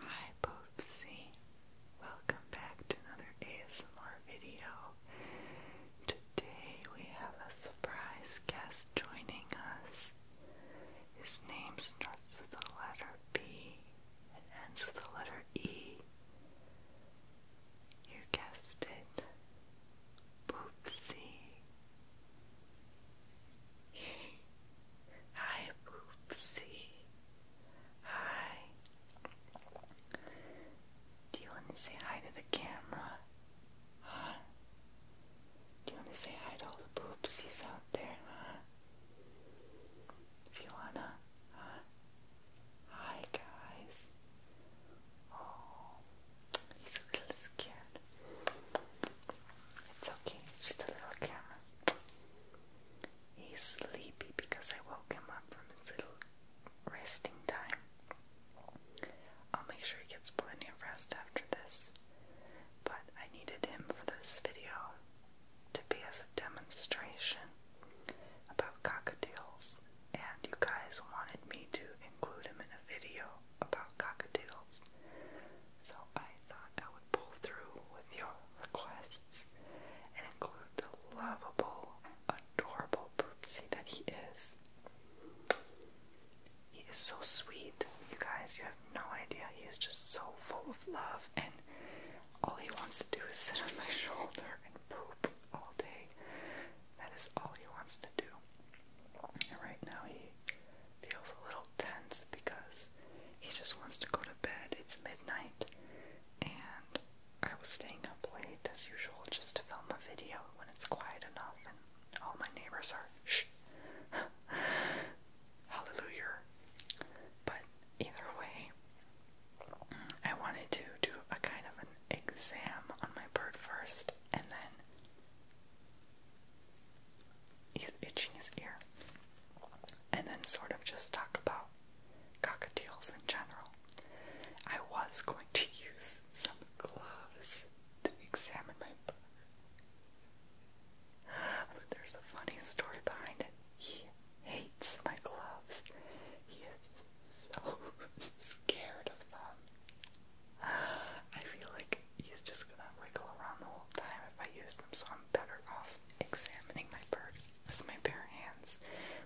Hi Popsy, welcome back to another ASMR video. Today we have a surprise guest joining us. His name starts with the letter B and ends with the letter E. You guessed it. Poopsie. Hi, Poopsie. Hi. Do you want to say hi to the camera? Huh? Do you want to say hi to all the poopsies out there, huh? If you wanna, huh? Hi, guys. Oh, he's a little scared it's okay, it's just a little camera. He's sleepy because I woke him up from his little resting time. I'll make sure he gets plenty of rest after this, but I needed him for this video to be as a demonstration about cockatoos, and you guys wanted me to include him in a video about cockatoos so I thought I would pull through with your requests and include the lovable, adorable Poopsie that he is. He is so sweet, you guys, you have no idea. He is just so full of love, and all he wants to do is sit on my shoulder and poop all day. That is all he wants to do. And right now, he feels a little tense because he just wants to go to bed. It's midnight, and I was staying up late as usual just to film a video when it's quiet enough, and all my neighbors are shh, hallelujah. But either way, I wanted to do a kind of an exam on my bird first, and then he's itching his ear, and then sort of just talk about cockatoos in general. I was going to use some gloves to examine my bird, but there's a funny story behind it. He hates my gloves. He is so scared of them. I feel like he's just gonna wiggle around the whole time if I use them, so I'm better off examining my bird with my bare hands,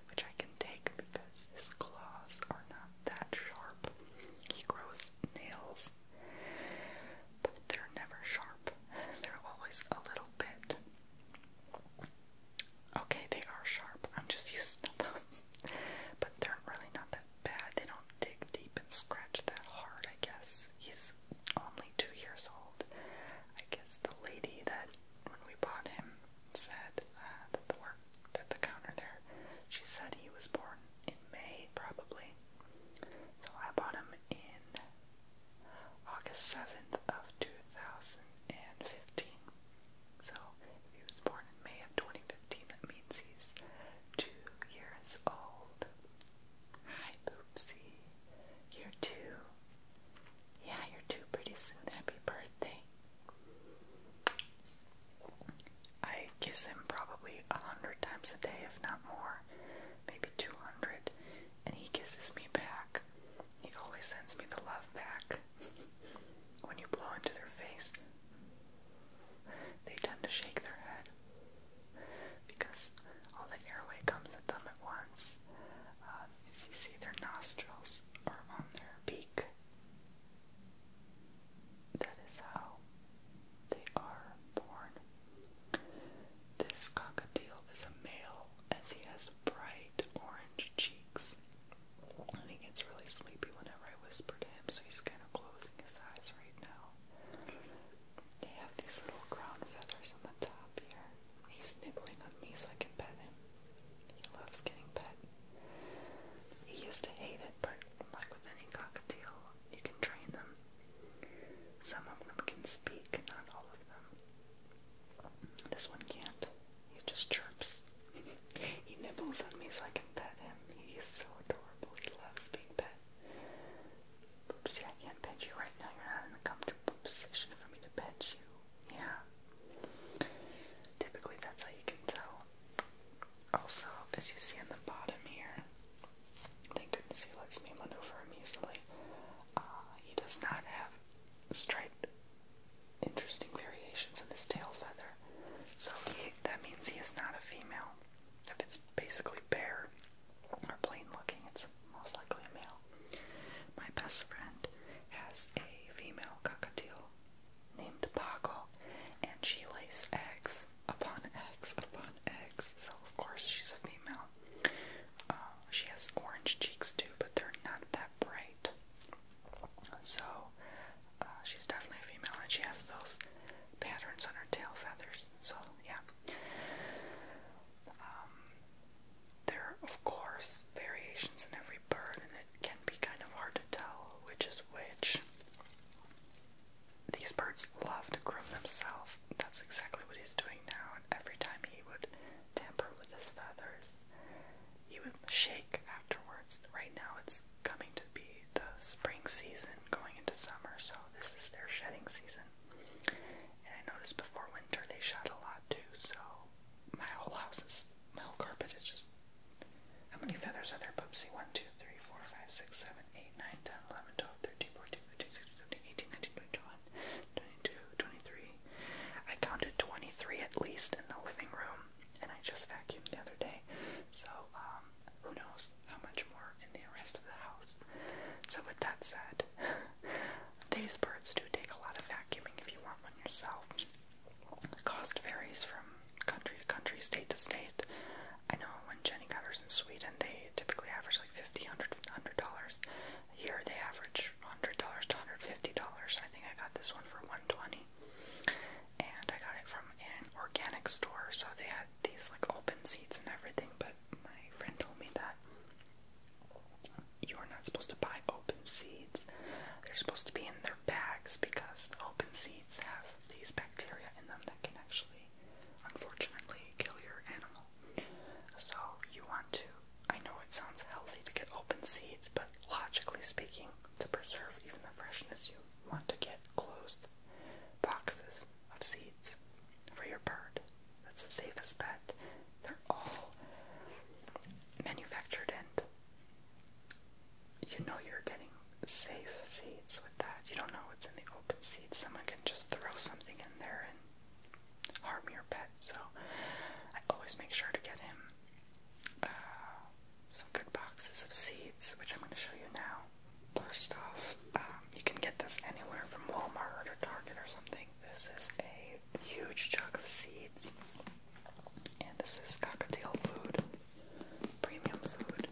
which I can take because his claws are not that sharp. He grows nails, but they're never sharp, they're always a little bit. Okay, they are sharp. I'm just used to them, but they're really not that bad. They don't dig deep and scratch that hard, I guess. He's only two years old. I guess the lady that, when we bought him, said uh, that the work at the counter there, she said he was born in May, probably. So I bought him in August 7th of 2015. So he was born in May of 2015, that means he's two years old. Hi, Boopsie. You're two. Yeah, you're two pretty soon. Happy birthday. I kiss him probably a hundred times a day, if not more, maybe 200, and he kisses me back. He always sends me the love back. when you blow into their face, they tend to shake their head because all the airway comes at them at once. Uh, as you see, their nostrils are on their beak. That is how they are born. This cockatiel is a male as he has bright orange cheeks. And he gets really sleepy whenever I whisper to him, so he's kind of closed his eyes right now. They have these little crown feathers on the top here. He's nibbling on me so I can pet him. He loves getting pet. He used to hate it, but like with any cockatiel, you can train them. Some of them can speak, not all of them. This one can't. He just chirps. he nibbles on me so I can pet him. He's so adorable. He loves being petted. See, I can't pet you right now. You're not in a comfortable position for me to pet you. Yeah. Typically, that's how you can tell. Also, as you see on the bottom here, thank goodness he lets me maneuver him easily. Uh, he does not have striped, interesting variations in his tail feather. So that means he is not a female. If it's basically bare or plain looking, it's most likely a male. My best friend has a female cockatiel named Paco, and she lays eggs upon eggs upon eggs, so of course she's a female. Uh, she has orange cheeks too, but they're not that bright. So uh, she's definitely a female, and she has those patterns on her tail feathers. So yeah, um, there are of course variations in every bird, and it can be kind of hard to tell which is which. These birds love to groom themselves. That's exactly what he's doing now. And every time he would tamper with his feathers, he would shake afterwards. Right now, it's is coming to be the spring season going into summer, so this is their shedding season. And I noticed before winter they shed a lot too, so my whole house is my whole carpet is just how many feathers are there, Bubsy? 1, 2, 3, 4, 5, 6, 7, 8, 9, 10, 11, 12, 13, 14, 15, 16, 17, 18, 19, 20, 21, 22, 23. I counted 23 at least in the living room, and I just vacuumed the other day. So, um, who knows how much more in the rest of the house. So, with that said, these birds do take a lot of vacuuming if you want one yourself. cost varies from country to country, state to state. I know when Jenny got hers in Sweden, they typically average like $50, $100. Here they average $100 to $150. I think I got this one for $120 and I got it from an organic store, so they had these like open seeds and everything, but my friend told me that you are not supposed to buy open seeds. They're supposed to be in their bags because open seeds have these bacteria in them that can actually unfortunately kill your animal. So you want to I know it sounds healthy to get open seeds, but logically speaking, to preserve even the freshness, you want to get closed boxes of seeds for your bird. That's the safest bet. They're all manufactured and you know you're getting safe seeds with that. You don't know what's in the open seeds. Someone can just throw something in there and harm your pet. So I always make sure to get him uh, some good boxes of seeds, which I'm going to show you now. First off, um, you can get this anywhere from Walmart or Target or something. This is a huge chunk of seeds, and this is cockatiel food, premium food,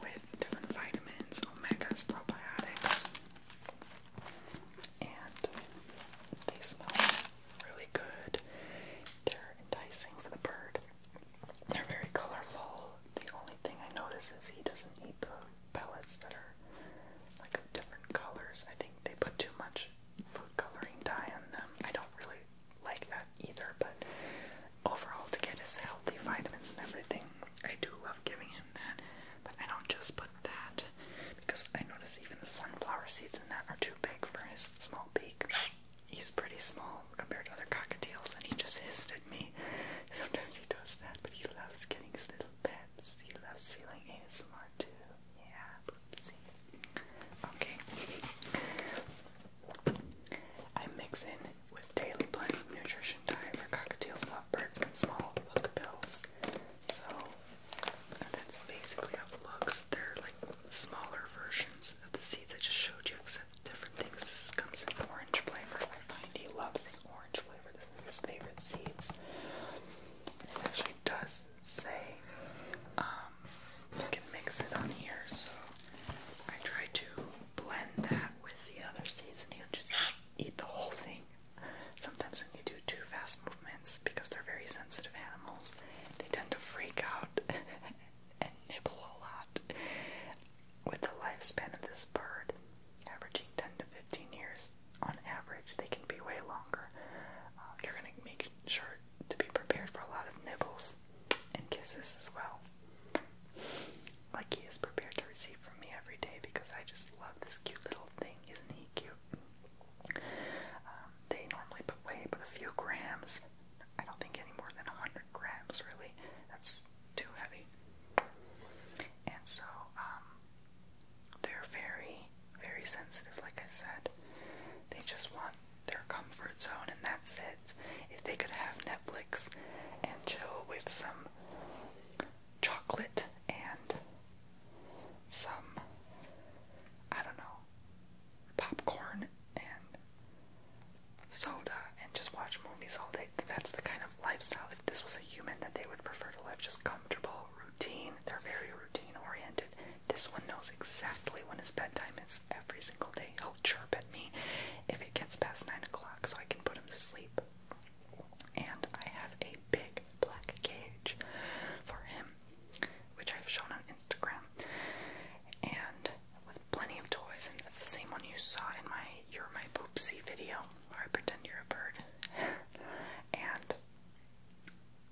with different vitamins, omegas, probiotics, and they smell really good. They're enticing for the bird. They're very colorful. The only thing I notice is he doesn't eat the pellets that are like different colors. I think they put too much food coloring dye on them. I don't really like that either, but overall, to get his healthy vitamins and everything, I do love giving him that. But I don't just put that because I notice even the sunflower seeds in that are too big for his small beak he's pretty small compared to other cockatiels, and he just hissed at me. Sometimes he does that, but he loves getting his little pets. He loves feeling ASMR too. Yeah, oopsie. Okay. I mix in with Daily Blend Nutrition Diet for cockatiels, birds and small hook bills. So that's basically how it looks. They're like smaller versions of the seeds I just showed you, except different things. This comes in orange flavor. I find he loves this orange flavor. This is his favorite seeds. It actually does say um, you can mix it on here, so I try to blend that with the other seeds, and he'll just eat the whole thing. Sometimes when you do too fast movements, because they're very sensitive animals, they tend to freak out and nibble a lot. With the lifespan of this bird averaging 10 to 15 years on average, they can be way longer. Uh, you're going to make sure to be prepared for a lot of nibbles and kisses as well. Like he is prepared to receive from me every day because I just love this cute little thing. Isn't he cute? Um, they normally put weigh but a few grams I don't think any more than 100 grams, really. That's too heavy. And so, um, they're very, very sensitive, like I said. They just want their comfort zone, and that's it. If they could have Netflix and chill with some chocolate and some, I don't know, popcorn and soda and just watch movies all day. That's the kind of lifestyle, if this was a human, that they would prefer to live. Just comfortable, routine. They're very routine oriented. This one knows exactly when his bedtime is every single day. He'll chirp at me if it gets past 9 o'clock so I can put him to sleep. And I have a big black cage for him, which I've shown on Instagram and with plenty of toys, and that's the same one you saw in my You're My Poopsie video, where I pretend you're a bird. and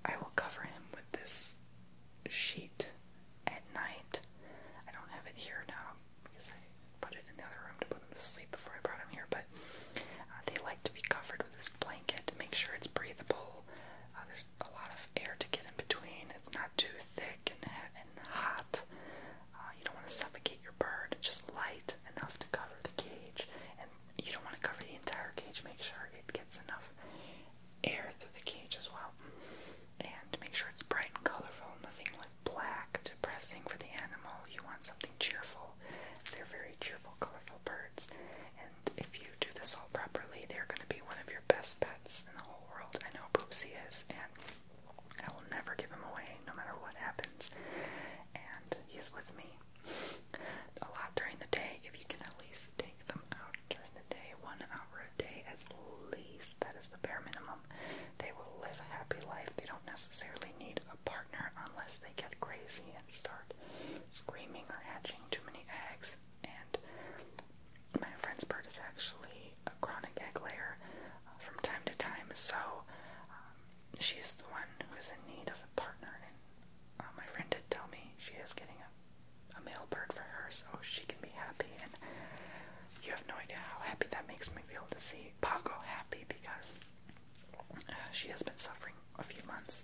I will cover him with this sheet at night. I don't have it here now because I put it in the other room to put him to sleep before I brought him here, but uh, they like to be covered with this blanket to make sure it's breathable. Uh, a lot of air to get in between. It's not too thick and, and hot. Uh, you don't want to suffocate your bird. Just light enough to cover the cage, and you don't want to cover the entire cage. Make sure it gets enough air through the cage as well, and make sure it's bright and colorful. Nothing like black, depressing for the animal. You want something cheerful. They're very cheerful, colorful birds, and if you do this all properly, they're going to be one of your best pets in the whole world. I know Poopsie is, and I will never give him away, no matter what happens. And he's with me a lot during the day. If you can at least take them out during the day, one hour a day at least, that is the bare minimum. They will live a happy life. They don't necessarily need a partner unless they get crazy and start screaming or hatching too many eggs and my friend's bird is actually a chronic egg layer uh, from time to time, so um, she's the one who is in need of a partner. And uh, my friend did tell me she is getting a, a male bird for her, so she can be happy. And you have no idea how happy that makes me feel to see Paco happy because uh, she has been suffering a few months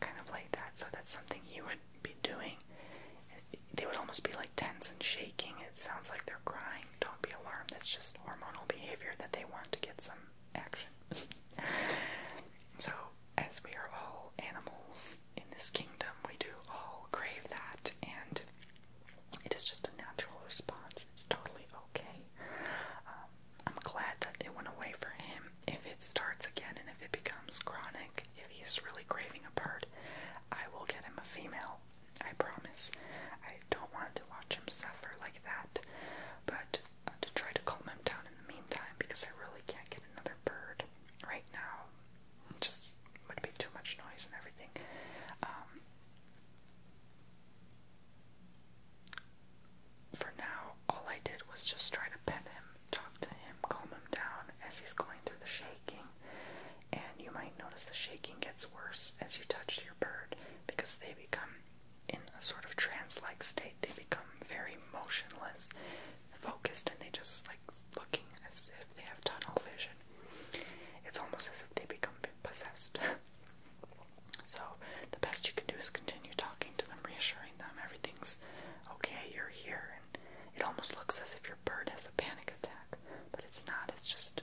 kind of like that. So that's something you would be doing. They would almost be like tense and shaking. It sounds like they're crying. Don't be alarmed. It's just hormonal behavior that they want to get some action. so, as we are all animals in this kingdom, we do all crave that, and it is just a natural response. It's totally okay. Um, I'm glad that it went away for him. If it starts again and if it becomes chronic, if he's really craving a bird, I will get him a female. I promise. I don't want to watch him suffer like that, but uh, to try to calm him down in the meantime because I really can't get another bird right now. just would be too much noise and everything. Um, for now, all I did was just try to pet him, talk to him, calm him down as he's going through the shaking. And you might notice the shaking gets worse as you touch your bird because they become in a sort of trance like state. They become very motionless, focused, and they just like looking as if they have tunnel vision. It's almost as if they become possessed. So the best you can do is continue talking to them, reassuring them everything's okay, you're here, and it almost looks as if your bird has a panic attack, but it's not, it's just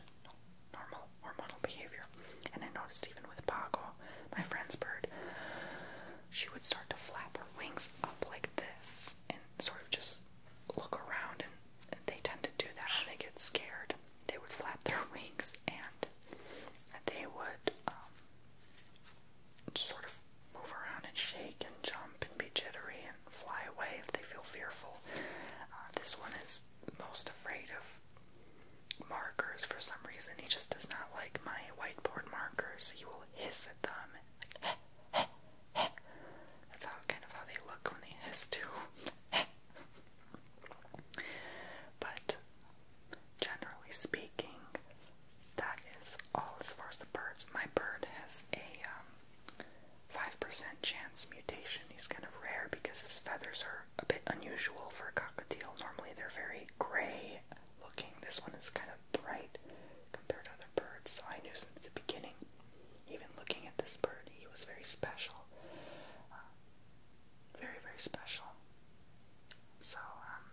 normal hormonal behavior. And I noticed even with Pago, my friend's bird, she would start to flap her wings up like this and sort of just look around and they tend to do that when they get scared. They would flap their wings and they would um, sort of move around and shake and jump and be jittery and fly away if they feel fearful. Uh, this one is most afraid of markers for some reason. He just does not like my whiteboard markers. He will hiss at them. That's how kind of how they look when they hiss too. but generally speaking, that is all as far as the birds. My bird has a 5% um, chance mutation. He's kind of rare because his feathers are a bit unusual for a cockatiel. Normally they're very gray looking. This one is kind of bright compared to other birds, so I knew since the beginning, even looking at this bird, he was very special. Uh, very, very special. So, um,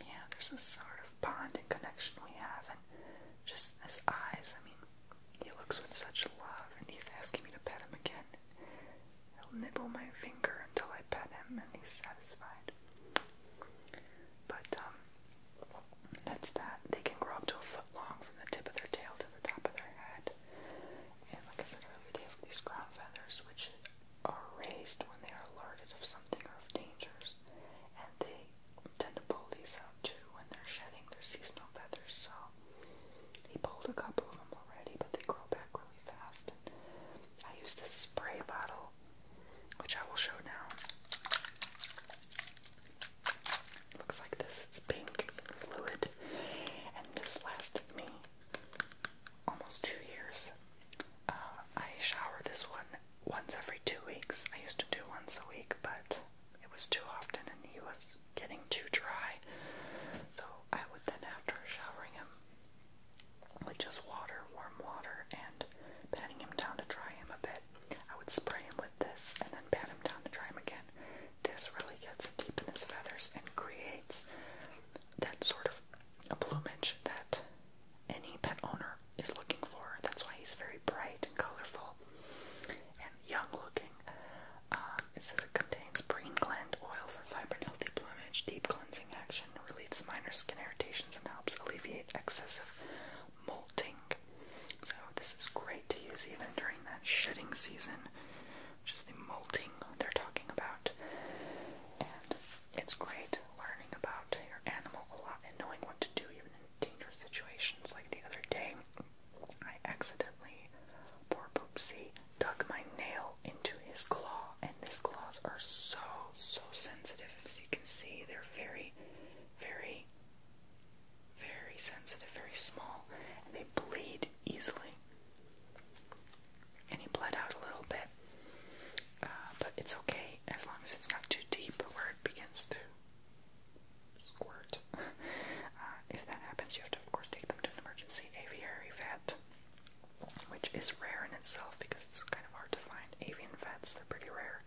yeah, there's this sort of bond and connection we have, and just his eyes, I mean, he looks with such love, and he's asking me to pet him again. He'll nibble my finger until I pet him, and he's satisfied. But, um, that's that. They can grow up to a foot long from the tip of their tail to the top of their head. And like I said earlier, they have these crown feathers which are raised when they are alerted of something or of dangers. And they tend to pull these out too when they're shedding their seasonal feathers. So he pulled a couple of them already, but they grow back really fast. And I use this spray bottle, which I will show now. Looks like this. It's pink fluid, and this lasted me almost two years. Uh, I shower this one once every two weeks. I used to do once a week, but it was too often and he was getting too dry. So I would then, after showering him with just water, warm water, and patting him down to dry him a bit, I would spray him with this and then pat him down to dry him again. This really gets deep in his feathers and creates that sort of a plumage that any pet owner is looking for. That's why he's very bright and colorful and young looking. Um, it says it contains brain gland oil for vibrant, healthy plumage, deep cleansing action, relieves minor skin irritations, and helps alleviate excessive molting. So, this is great to use even during that shedding season just the molting they're talking about. And it's great learning about your animal a lot and knowing what to do even in dangerous situations. Like the other day, I accidentally, poor Poopsie, dug my nail into his claw, and these claws are so, so sensitive. As you can see, they're very, very, very sensitive, very small, and they bleed easily and he bled out a little bit. Uh, but it's okay as long as it's not too deep where it begins to squirt. Uh, if that happens, you have to, of course, take them to an emergency aviary vet, which is rare in itself because it's kind of hard to find avian vets. They're pretty rare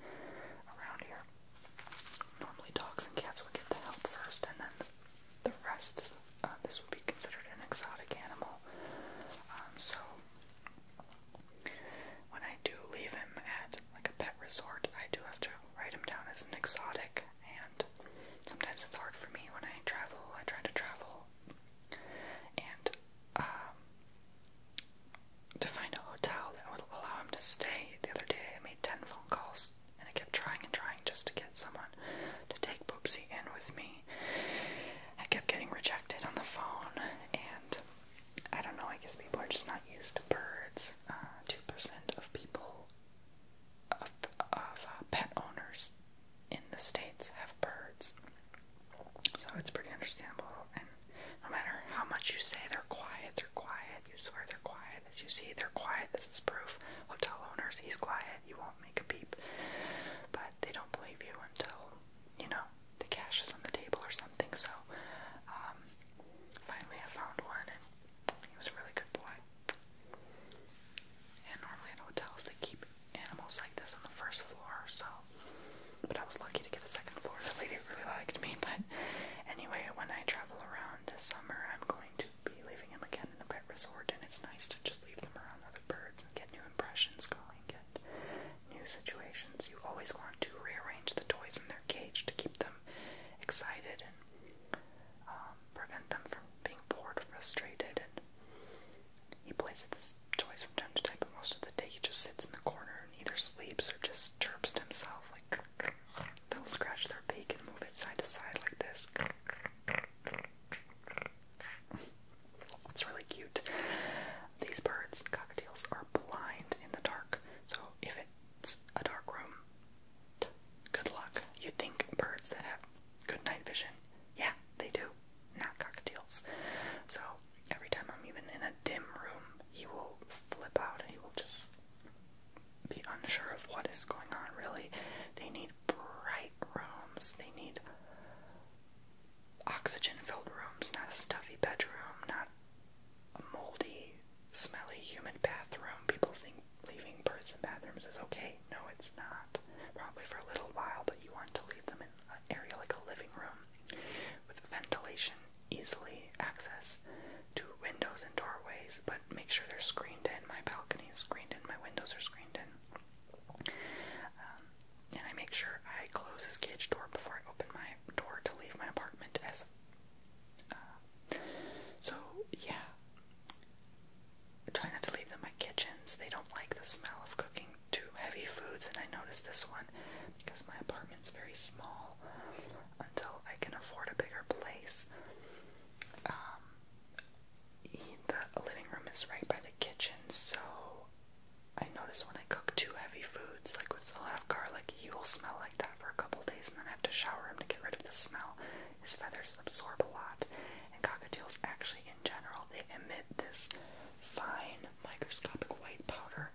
around here. Normally, dogs and cats would get the help first, and then the rest, uh, this would be considered an exotic animal. Um, so, when I do leave him at like a pet resort, I do have to write him down as an exotic, and sometimes it's hard for me when I travel. I try to travel and um, to find a hotel that would allow him to stay. The other day, I made 10 phone calls and I kept trying and trying just to get someone to take Boopsy in with me. I kept getting rejected on the phone, and I don't know, I guess people are just not used to birds. Uh, 2% of people, of, of uh, pet owners in the States have birds. So it's pretty understandable, and no matter how much you say they're quiet, they're quiet, you swear they're quiet, as you see, they're quiet. This is proof. Hotel owners, he's quiet. You won't make a peep. But they don't believe you until, you know, the cash is on the table or something. So, um, finally I found one and he was a really good boy. And normally in hotels they keep animals like this on the first floor, so. But I was lucky to get a second floor. The lady really liked me. But anyway, when I travel around this summer, I'm going to be leaving him again in a pet resort, and it's nice to just leave them around other birds and get new impressions going, get new situations. You always want to rearrange the toys in their cage to keep them excited and um, prevent them from being bored, frustrated. And he plays with his toys from time to time, but most of the day he just sits in the corner and either sleeps or just chirps to himself like. They'll scratch their beak and move it side to side like this. It's really cute. These birds, cockatiels, are blind in the dark. So if it's a dark room, good luck. You think birds that have good night vision? Yeah, they do. Not cockatiels. So every time I'm even in a dim room, he will flip out he will just be unsure of what is going on, really. They need bright rooms, they need oxygen filled rooms, not a stuffy bedroom, not a moldy, smelly, humid bathroom. People think leaving birds in bathrooms is okay. No, it's not. Probably for a little while, but you want to leave them in an area like a living room with ventilation, easily access, to windows and doorways, but make sure they're screened in. My balcony is screened in, my windows are screened in. Um, and I make sure I close this cage door before I open my door to leave my apartment. As uh, so, yeah. I try not to leave them my kitchens. They don't like the smell of cooking too heavy foods, and I noticed this one because my apartment's very small. Until I can afford a bigger place, um, the living room is right by the kitchen, so I notice when I cook too heavy foods, like with a lot of garlic, he will smell like that for a couple days, and then I have to shower him to get rid of the smell. His feathers absorb a lot, and cockatiels actually, in general, they emit this fine microscopic white powder.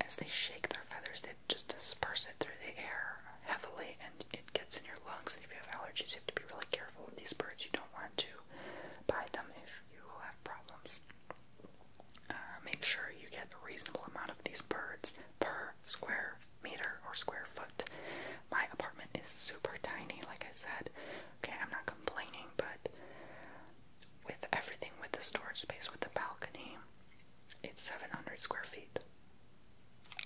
As they shake their feathers, just disperses it through the air heavily and it gets in your lungs. And if you have allergies, you have to be really careful with these birds. You don't want to buy them if you will have problems. Uh, make sure you get a reasonable amount of these birds per square meter or square foot. My apartment is super tiny, like I said. Okay, I'm not complaining, but with everything, with the storage space, with the balcony, it's 700 square feet.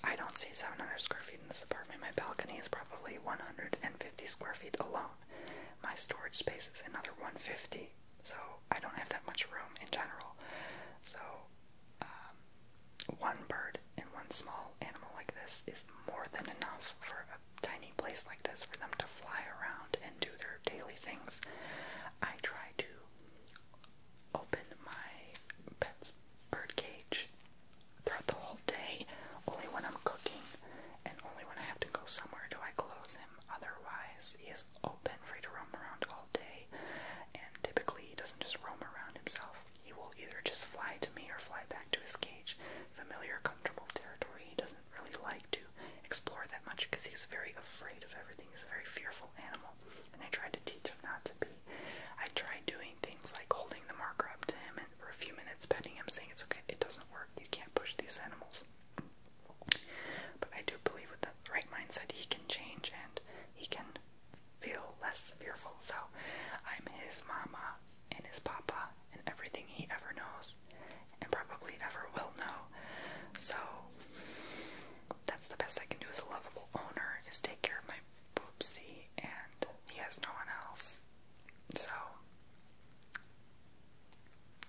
I don't see 700 square feet in this apartment. My balcony is probably 150 square feet alone. My storage space is another 150, so I don't have that much room in general. So, um, one bird and one small animal like this is more than enough for a tiny place like this for them to fly around and do their daily things. I try to opened my pet's bird cage throughout the whole day. Only when I'm cooking and only when I have to go somewhere do I close him. Otherwise, he is open, free to roam around all day. And typically, he doesn't just roam around himself. He will either just fly to me or fly back to his cage. Familiar, comfortable territory. He doesn't really like to explore that much because he's very afraid of everything. He's a very fearful animal. And I tried to teach him not to be. I tried doing things like holding the marker up to him and for a few minutes petting him, saying it's okay, it doesn't work, you can't push these animals. But I do believe with the right mindset, he can change and he can feel less fearful. So I'm his mama and his papa and everything he ever knows and probably ever will know. So that's the best I can do as a lovable owner is take care of my poopsie, and he has no one else. So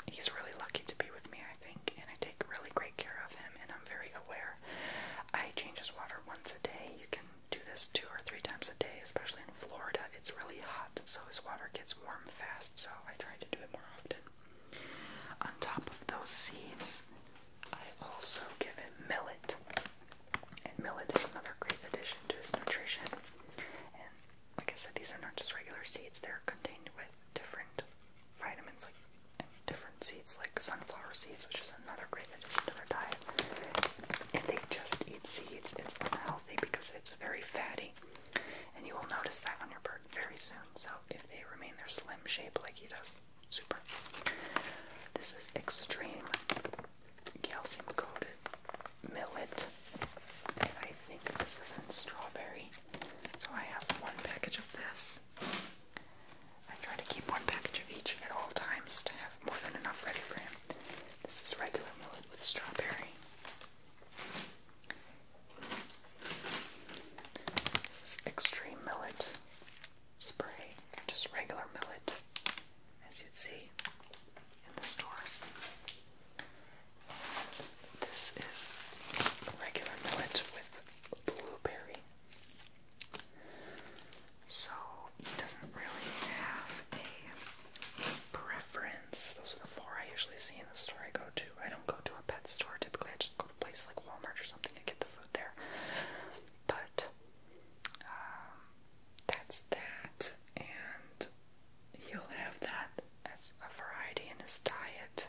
he's really lucky to be with me, I think, and I take really great care of him, and I'm very aware. I change his water once a day. You can do this two or three times a day, especially in Florida. It's really hot, so his water gets warm fast, so I try to do it more often. On top of those seeds, I also give him millet, and millet is another great addition to his nutrition. And like I said, these are not just regular seeds; they're contained with different vitamins, like and different seeds, like sunflower seeds, which is another great addition to their diet. If they just eat seeds, it's unhealthy because it's very fatty, and you will notice that on your bird very soon. So if they remain their slim shape like he does. Super. This is extreme calcium coated millet. I think this is in strawberry. So I have one package of this. I try to keep one package of each at all times to have more than enough ready for him. This is regular millet with strawberry. This is extreme millet spray, just regular millet, as you'd see in the store. This is regular millet with blueberry. So it doesn't really have a preference. Those are the four I usually see in the store I go to. I don't go to a pet store typically, I just go a place like Walmart or something to get the food there. But um, that's that, and you will have that as a variety in his diet,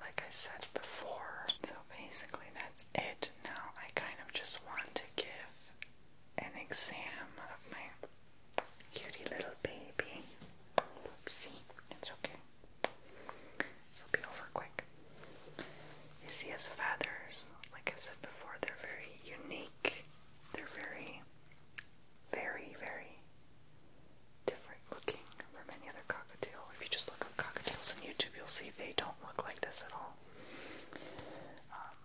like I said before. So basically, that's it. Now I kind of just want to give an exam of my cutie little baby. Oopsie, it's okay. This be over quick. You see his feathers, like I said before, they're very unique. They're very, very, very different looking from any other cockatiel. If you just look up cockatiels on YouTube, you'll see they don't look like this at all. Um,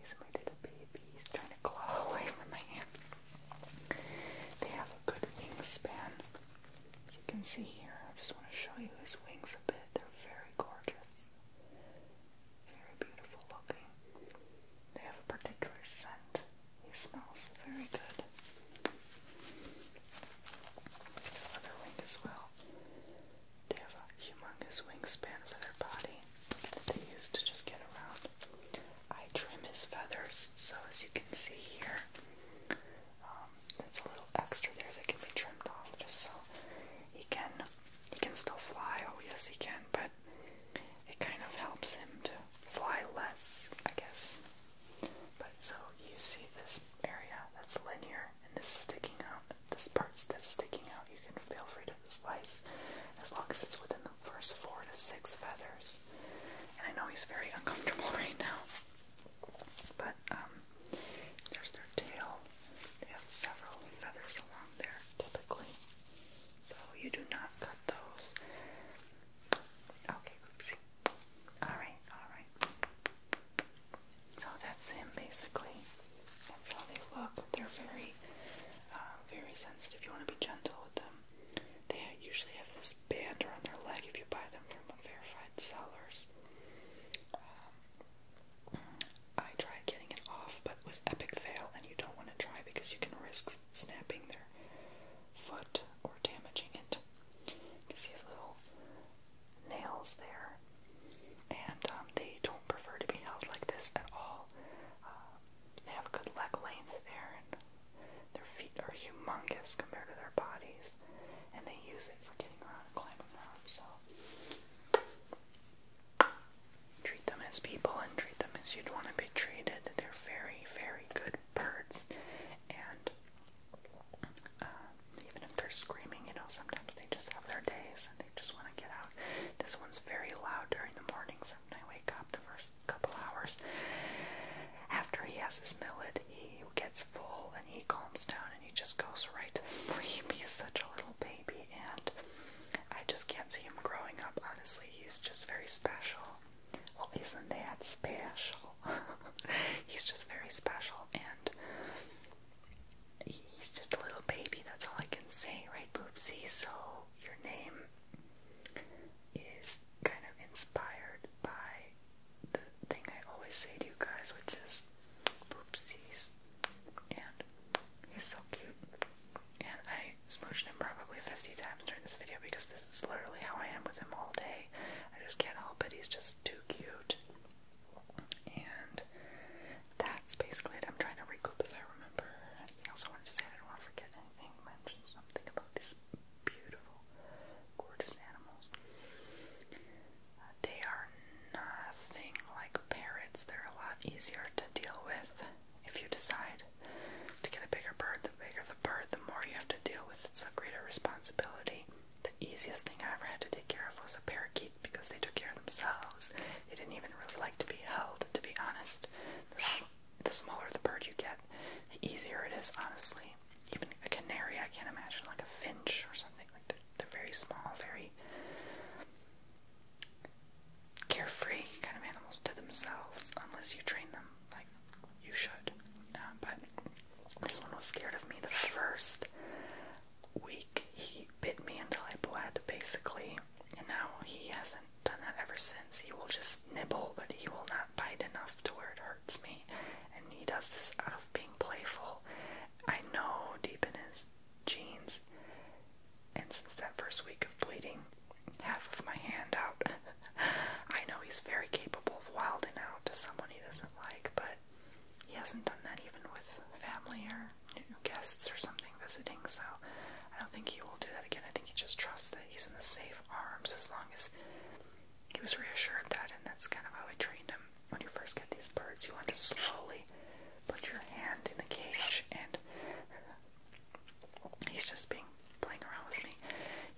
he's my little baby. He's trying to claw away from my hand. They have a good wingspan. As you can see here, I just want to show you his wings a bit. They're very gorgeous, very beautiful looking. They have a particular scent. He smells very good. The other wing as well. They have a humongous wingspan for their body that they use to just get around. I trim his feathers, so as you can see here, um, it's a little extra there that can be trimmed off just so he can he can still fly. Oh yes, he can, but it kind of helps him to fly less, I guess. But so you see this area that's linear and this sticking out, this part that's sticking out, you can feel free to slice as long as it's within the first four to six feathers. And I know he's very uncomfortable right now. But um, there's their tail. They have several feathers along there typically. So you do not cut those. Okay, Alright, alright. So that's him basically. That's how they look. They're very, uh, very sensitive. You want to be gentle with them. They usually have this this band around their leg if you buy them from verified sellers. Um, I tried getting it off, but it was epic fail, and you don't want to try because you can risk snapping their foot or damaging it. You can see the little nails there, and um, they don't prefer to be held like this at all. Uh, they have good leg length there, and their feet are humongous compared to their bodies, and they use it for getting around and climbing around. So, treat them as people and treat them as you'd want to be treated. They're very, very good birds, and uh, even if they're screaming, you know, sometimes they just have their days and they just want to get out. This one's very loud during the mornings. So when I wake up the first couple hours after he has his millet, bed, he gets full and he calms down and he just goes right to sleep. He's such a little baby, and I just can't see him growing up, honestly. He's just very special. Well, isn't that special? he's just very special, and he's just a little baby. That's all I can say, right, Boopsy? So, your name is kind of inspired by the thing I always say to you guys, which is oopsies. And he's so cute. And I smooched him probably 50 times during this video because this is literally how I am with him all day. I just can't help it, he's just too cute. And that's basically it. I'm trying to recoup if I remember anything also want to say. I don't want to forget anything. Mention something about this just beautiful, gorgeous animals. Uh, they are nothing like parrots. They're a lot easier to deal with if you decide to get a bigger bird. The bigger the bird, the more you have to deal with. It's a greater responsibility. The easiest thing I ever had to take care of was a parakeet because they took care of themselves. They didn't even really like to be held, to be honest. This the smaller the bird you get, the easier it is, honestly. Even a canary, I can't imagine, like a finch or something. Like they're, they're very small, very carefree kind of animals to themselves, unless you train them like you should. Uh, but this one was scared of me the first week. He bit me until I bled, basically, and now he hasn't done that ever since. He will just nibble, but he will not bite enough to where it hurts me. And he does this out of being playful. I know deep in his jeans. And since that first week of bleeding half of my hand out, I know he's very capable of wilding out to someone he doesn't like, but he hasn't done that even with family or guests or something visiting, so I don't think he will do that again. I think he just trusts that he's in the safe arms as long as he was reassured that, and that's kind of how I trained him. When you first get these birds, you want to slowly put your hand in the cage, and he's just being playing around with me.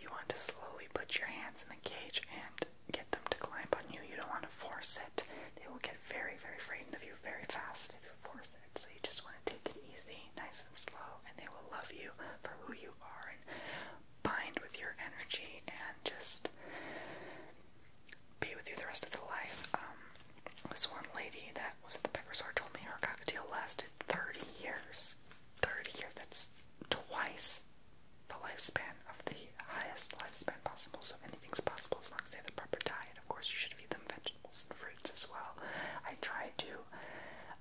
You want to slowly put your hands in the cage and get them to climb on you. You don't want to force it. They will get very, very frightened of you very fast if you force it. So you just want to take it easy, nice and slow, and they will love you for who you are bind with your energy and just be with you the rest of the life. Um, this one lady that was at the pet resort told me her cockatiel lasted 30 years. 30 years, that's twice the lifespan of the highest lifespan possible, so anything's possible as long as they have the proper diet. Of course, you should feed them vegetables and fruits as well. I tried to.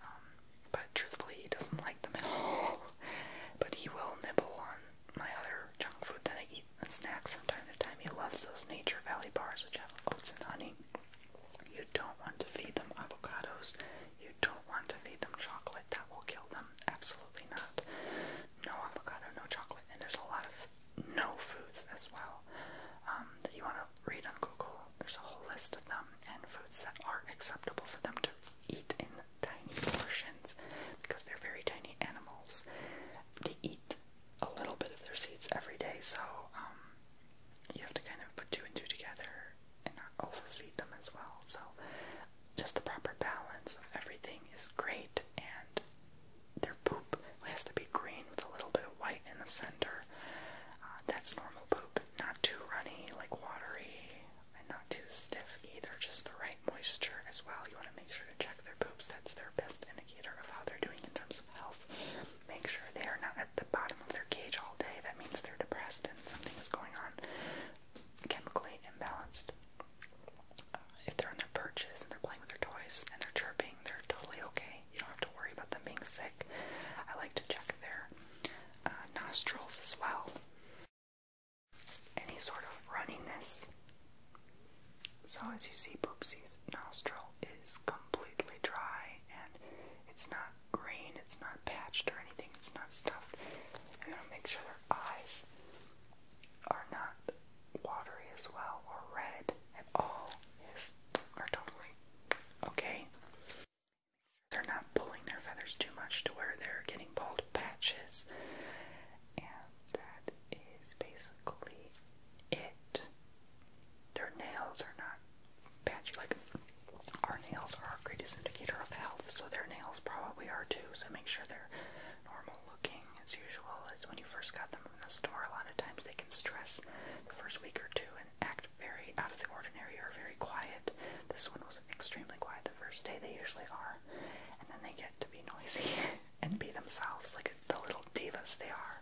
Um, but truthfully, he doesn't like them at all. but he will nibble on my other junk food that I eat and snacks from time to time. He loves those Nature Valley bars, which have oats and honey. You don't want to feed them avocados. You don't want to feed them chocolate. That will kill them. Absolutely not. No avocado, no chocolate. And there's a lot of no foods as well um, that you want to read on Google, there's a whole list of them and foods that are acceptable for them to eat in tiny portions because they're very tiny animals. They eat a little bit of their seeds every day, so um, you have to kind of put two and two together and not overfeed them as well. So, just the proper balance of everything is great, and their poop has to be green with a little bit of white in the center. Uh, that's normal poop not too runny, like watery, and not too stiff either. Just the right moisture as well. You want to make sure to check their poops. That's their best indicator of how they're doing in terms of health. Make sure they are not at the bottom of their cage all day. That means they're depressed and something is going on chemically imbalanced. Uh, if they're on their perches and they're playing with their toys and they're chirping, they're totally okay. You don't have to worry about them being sick. I like to check their uh, nostrils as well. Any sort of runniness. So, as you see, Boopsie's nostril is completely dry and it's not green, it's not patched or anything, it's not stuffed. I'm gonna make sure their eyes are not watery as well or red at all. Yes, are totally okay. They're not pulling their feathers too much to where they're getting bald patches. And that is basically it. Their nails are not patchy. Like, our nails are our greatest indicator of health, so their nails probably are too. So make sure they're normal looking as usual as when you first got them from the store. A lot of times they can stress the first week or two, act very out of the ordinary or very quiet. This one was extremely quiet the first day, they usually are. And then they get to be noisy and be themselves, like the little divas they are.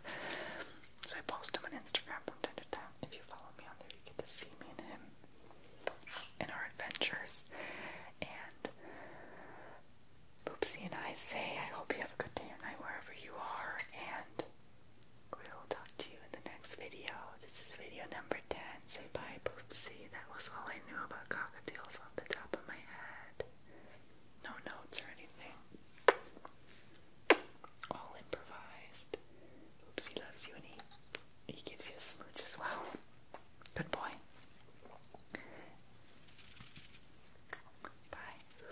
So I post him on Instagram from time to time. If you follow me on there, you get to see me and him in our adventures. And Boopsie and I say, I hope you have a good day or night wherever you are. And We'll talk to you in the next video. This is video number 10. Say bye, Poopsie. That was all I knew about cockatiels off the top of my head. No notes or anything. All improvised. Oopsie loves you and he, he gives you a smooch as well. Good boy. Bye.